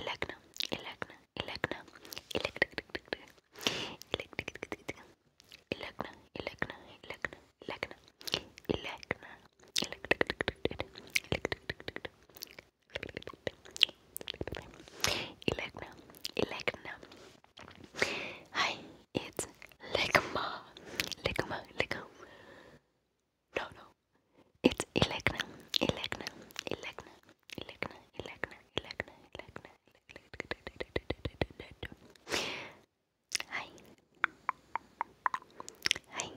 Elecna, Elecna, Elecna, Elecna, Elecna, Elecna, Elecna, Elecna, Elecna, Elecna, Elecna, Elecna, Hi, it's Legma, Legma, Legma. No, no, it's Elecna, Elecna, Elecna, Elegna, Elegna, Elegna, Elegna, Elegna. Hi. Hi.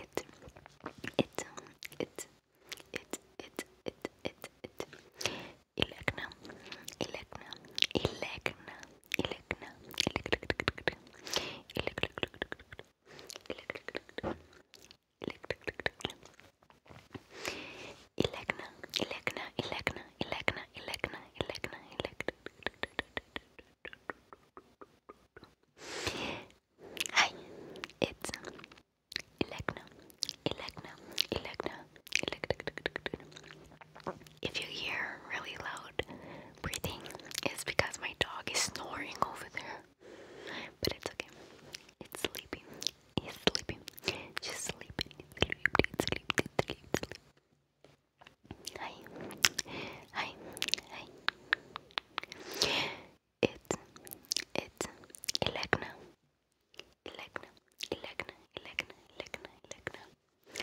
It, it, um, it, it, it, it, it, it. Elegna, Elegna, Elegna, Elegna, Elegna, Elegna, Elegna, Elecna, Elecna, Elecna, Elecna, Elecna, Elecna, Elecna. Hi, it's Elecna, Elecna, Elecna, Elecna. If you hear really loud breathing is because my dog is snoring over there. But it's okay. It's sleeping. It's sleeping. She's sleeping. Sleep, sleep, sleep, sleep, Hi. Hi. Hi. It's it's Elegna. Elegna. Elegna. Elegna. Elegna. Elegna.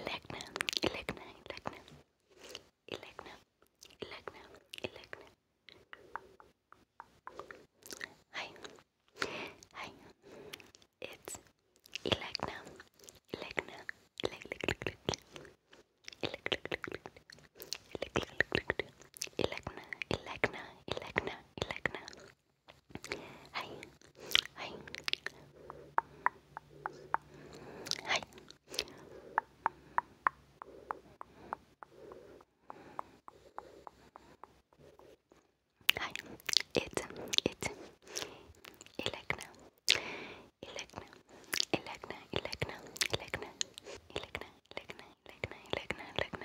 Elegna, Elegna, Elegna, Elegna, Elegna, Elegna. Hi, hi. It's Elegna, Elegna, Elegna, Elegna, Elegna, Elegna, Elegna, Elegna, はいはいはいはいえっえっえらくなえらくなえらくなえらくなえらくなえらくなえらくなえらくなえらくなえらくな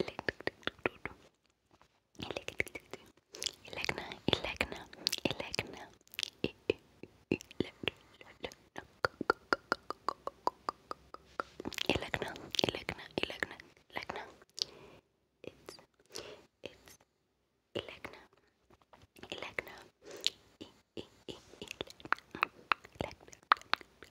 Elegna, Elegna, Elegna, Elegna, Elegna, Elegna, Elegna. It's it's Elegna, Elegna, Elegna, Elegna,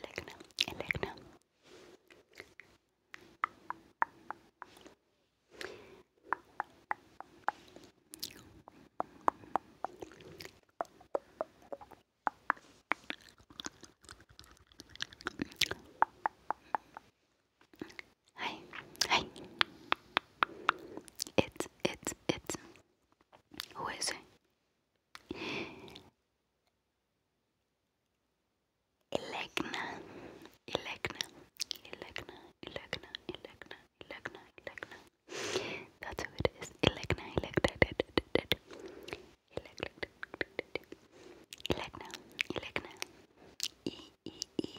Leggna, Leggna. Hi, hi. It's, Who is it? Elegna, Elegna, Elegna, Elegna, Elegna, Elegna, Elegna. That's who it is. Elegna, Elegna, Elegna, Elegna, Elegna, Elegna, E E E,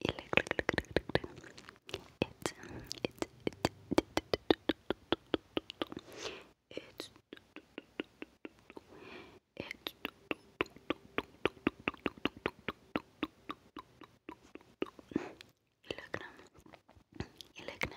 It, it, it, it, it, it, يلقنا يلقنا يلقنا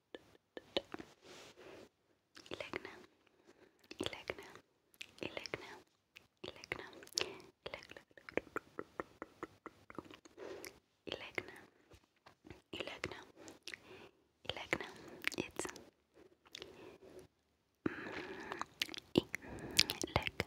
Legnam, Legnam, Legnam, Legnam, Legnam, Legnam, Legnam, it's Leg, no, leg,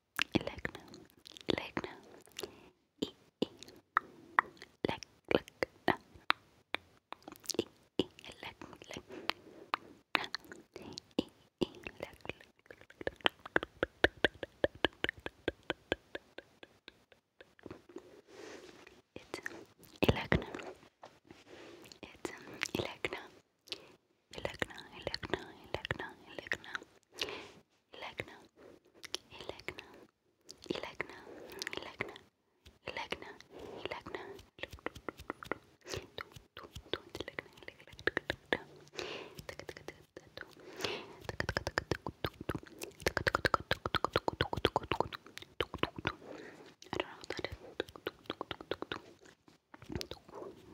Legnum, legnum, e e, leg leg, e e, leg leg, e e, leg It's elegnum, it's elegnum. Elegna, elegna, elegna, elegna. Elegna, Elegna, Elegna, Elegna, Elegna, Elegna, I don't know what that is.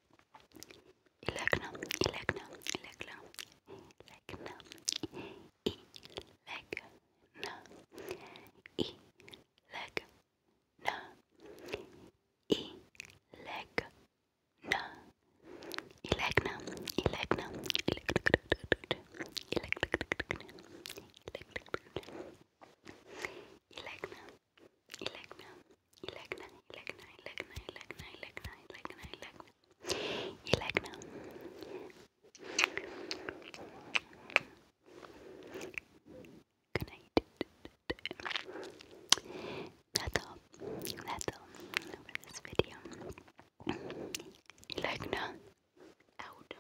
Elegna, elegna, elegna, elegna, elegna, elegna, elegna, elegna, elegna, elegna, elegna, يلاقنا يلاقنا يلاقنا يلاقنا يلاقنا يلاقنا يلاقنا يلاقنا يلاقنا Good night. That's all. That's all for this video. Ilegna out.